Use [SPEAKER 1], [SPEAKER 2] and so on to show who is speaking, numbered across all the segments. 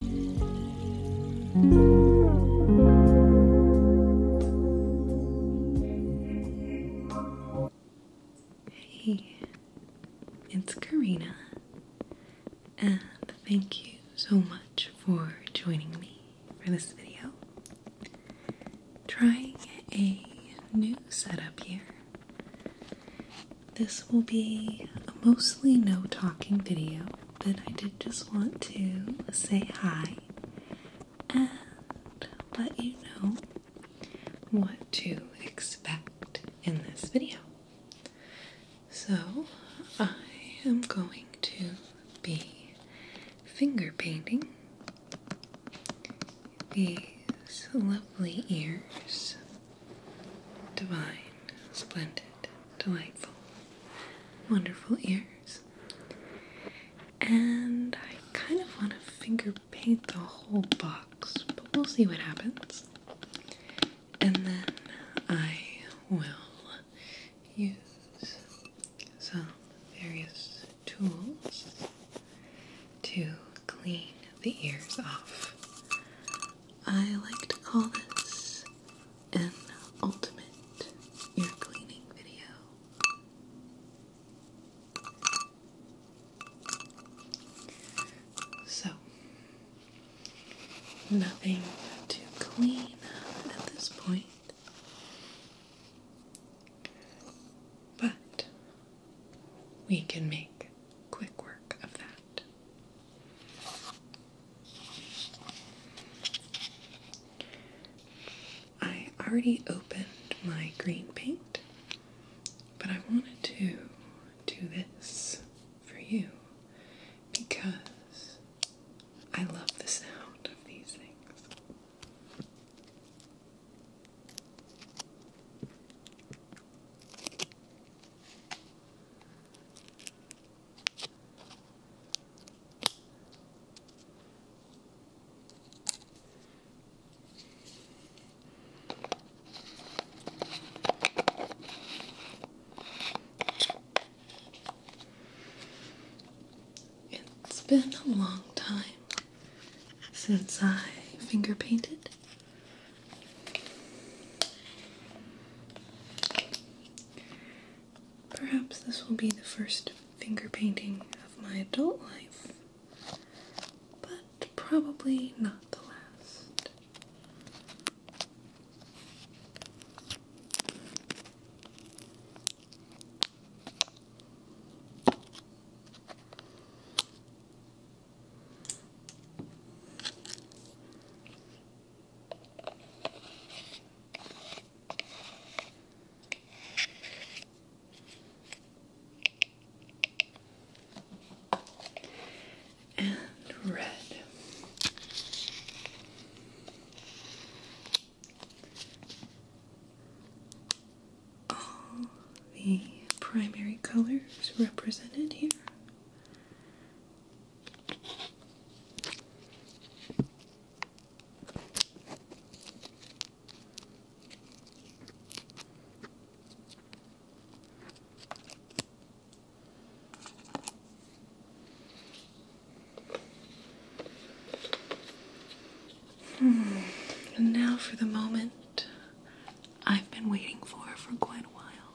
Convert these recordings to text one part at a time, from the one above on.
[SPEAKER 1] Hey, it's Karina, and thank you so much for joining me for this video. Trying a new setup here. This will be a mostly no talking video, but I did just want to say hi and let you know what to expect in this video. So, I am going to be finger painting these lovely ears divine, splendid, delightful, wonderful ears. And I kind of want to finger paint the whole box, but we'll see what happens. And then I will use some various tools to clean the ears off. I like to call this an ultimate ear cleaning video. So, nothing to clean at this point. But we can make quick work of that. I already opened my green paint, but I wanted to do this for you because I love the sound of these things. It's been a long time since I finger painted. Perhaps this will be the first finger painting of my adult life, but probably not the last and red. All the primary colors represented here Hmm. And now for the moment I've been waiting for for quite a while.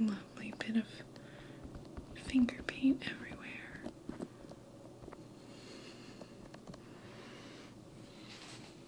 [SPEAKER 1] Lovely bit of finger paint everywhere.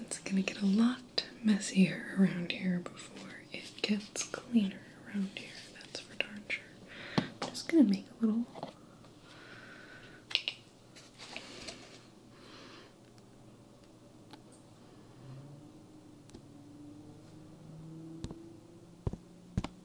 [SPEAKER 1] It's going to get a lot messier around here before it gets cleaner around here. That's for darn sure. just going to make a little.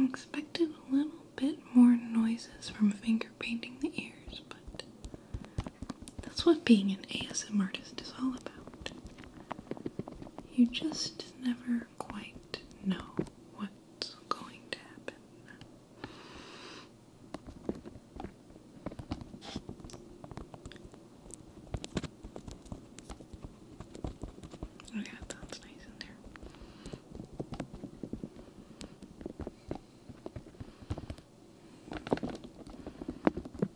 [SPEAKER 1] I expected a little bit more noises from finger painting the ears, but that's what being an ASM artist is all about. You just never quite know what's going to happen. Oh, yeah, that sounds nice in there.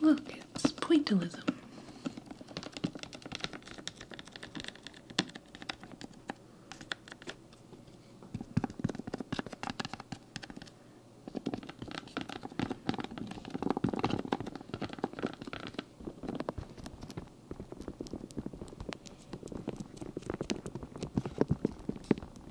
[SPEAKER 1] Look, it's pointillism.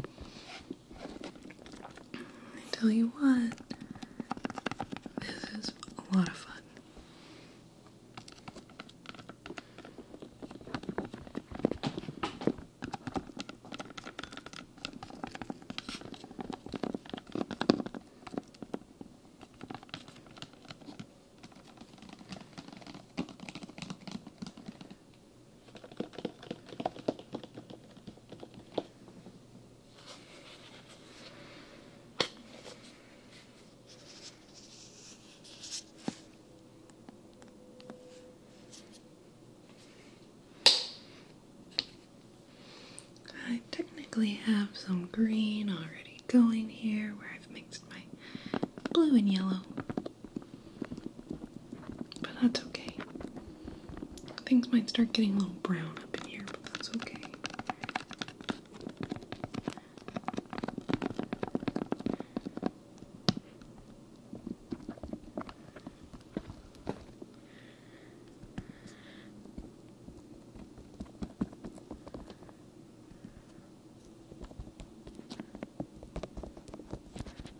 [SPEAKER 1] I tell you what, this is a lot of fun. I technically have some green already going here where I've mixed my blue and yellow. But that's okay. Things might start getting a little brown up in here, but that's okay.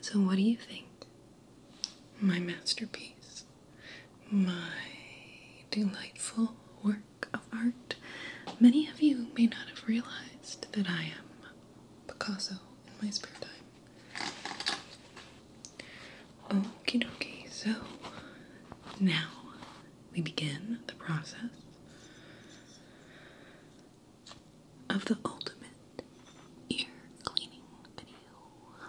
[SPEAKER 1] So, what do you think? My masterpiece, my delightful work of art. Many of you may not have realized that I am Picasso in my spare time. Okay, dokie, so now we begin the process of the ultimate ear cleaning video.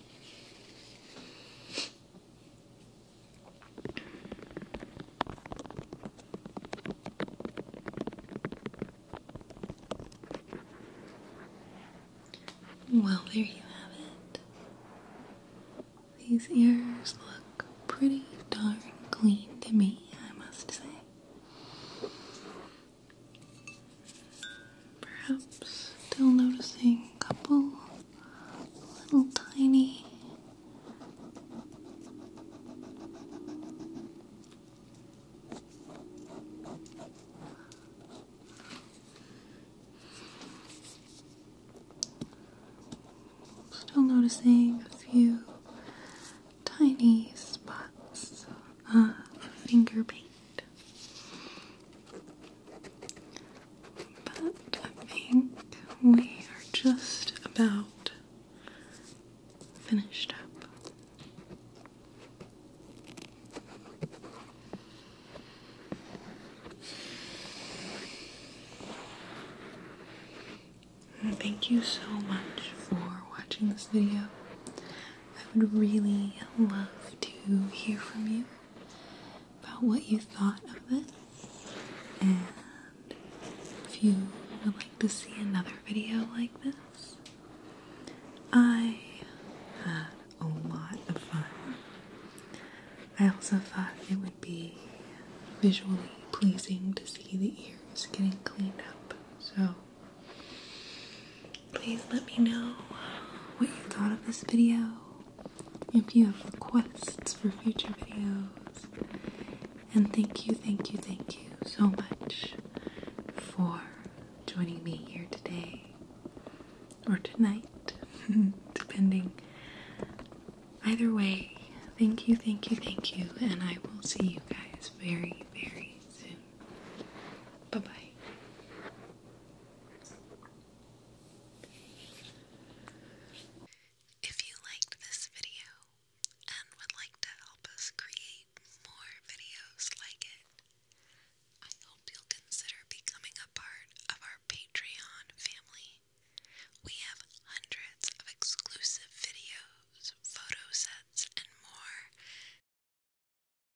[SPEAKER 1] Well, there you have it. These ears look pretty darn clean to me, I must say. Perhaps still noticing a couple little tiny Still noticing a few tiny spots of finger paint. But I think we are just about finished up. Thank you so much for watching this video. I would really love to hear from you about what you thought of this and if you would like to see another video like this. I had a lot of fun. I also thought it would be visually pleasing to see the ears getting cleaned up. So Please let me know what you thought of this video. If you have requests for future videos. And thank you, thank you, thank you so much for joining me here today or tonight, depending. Either way, thank you, thank you, thank you, and I will see you guys very, very soon. Bye bye. If you liked this video and would like to help us create more videos like it, I hope you'll consider becoming a part of our Patreon family. We have hundreds of exclusive videos, photo sets, and more.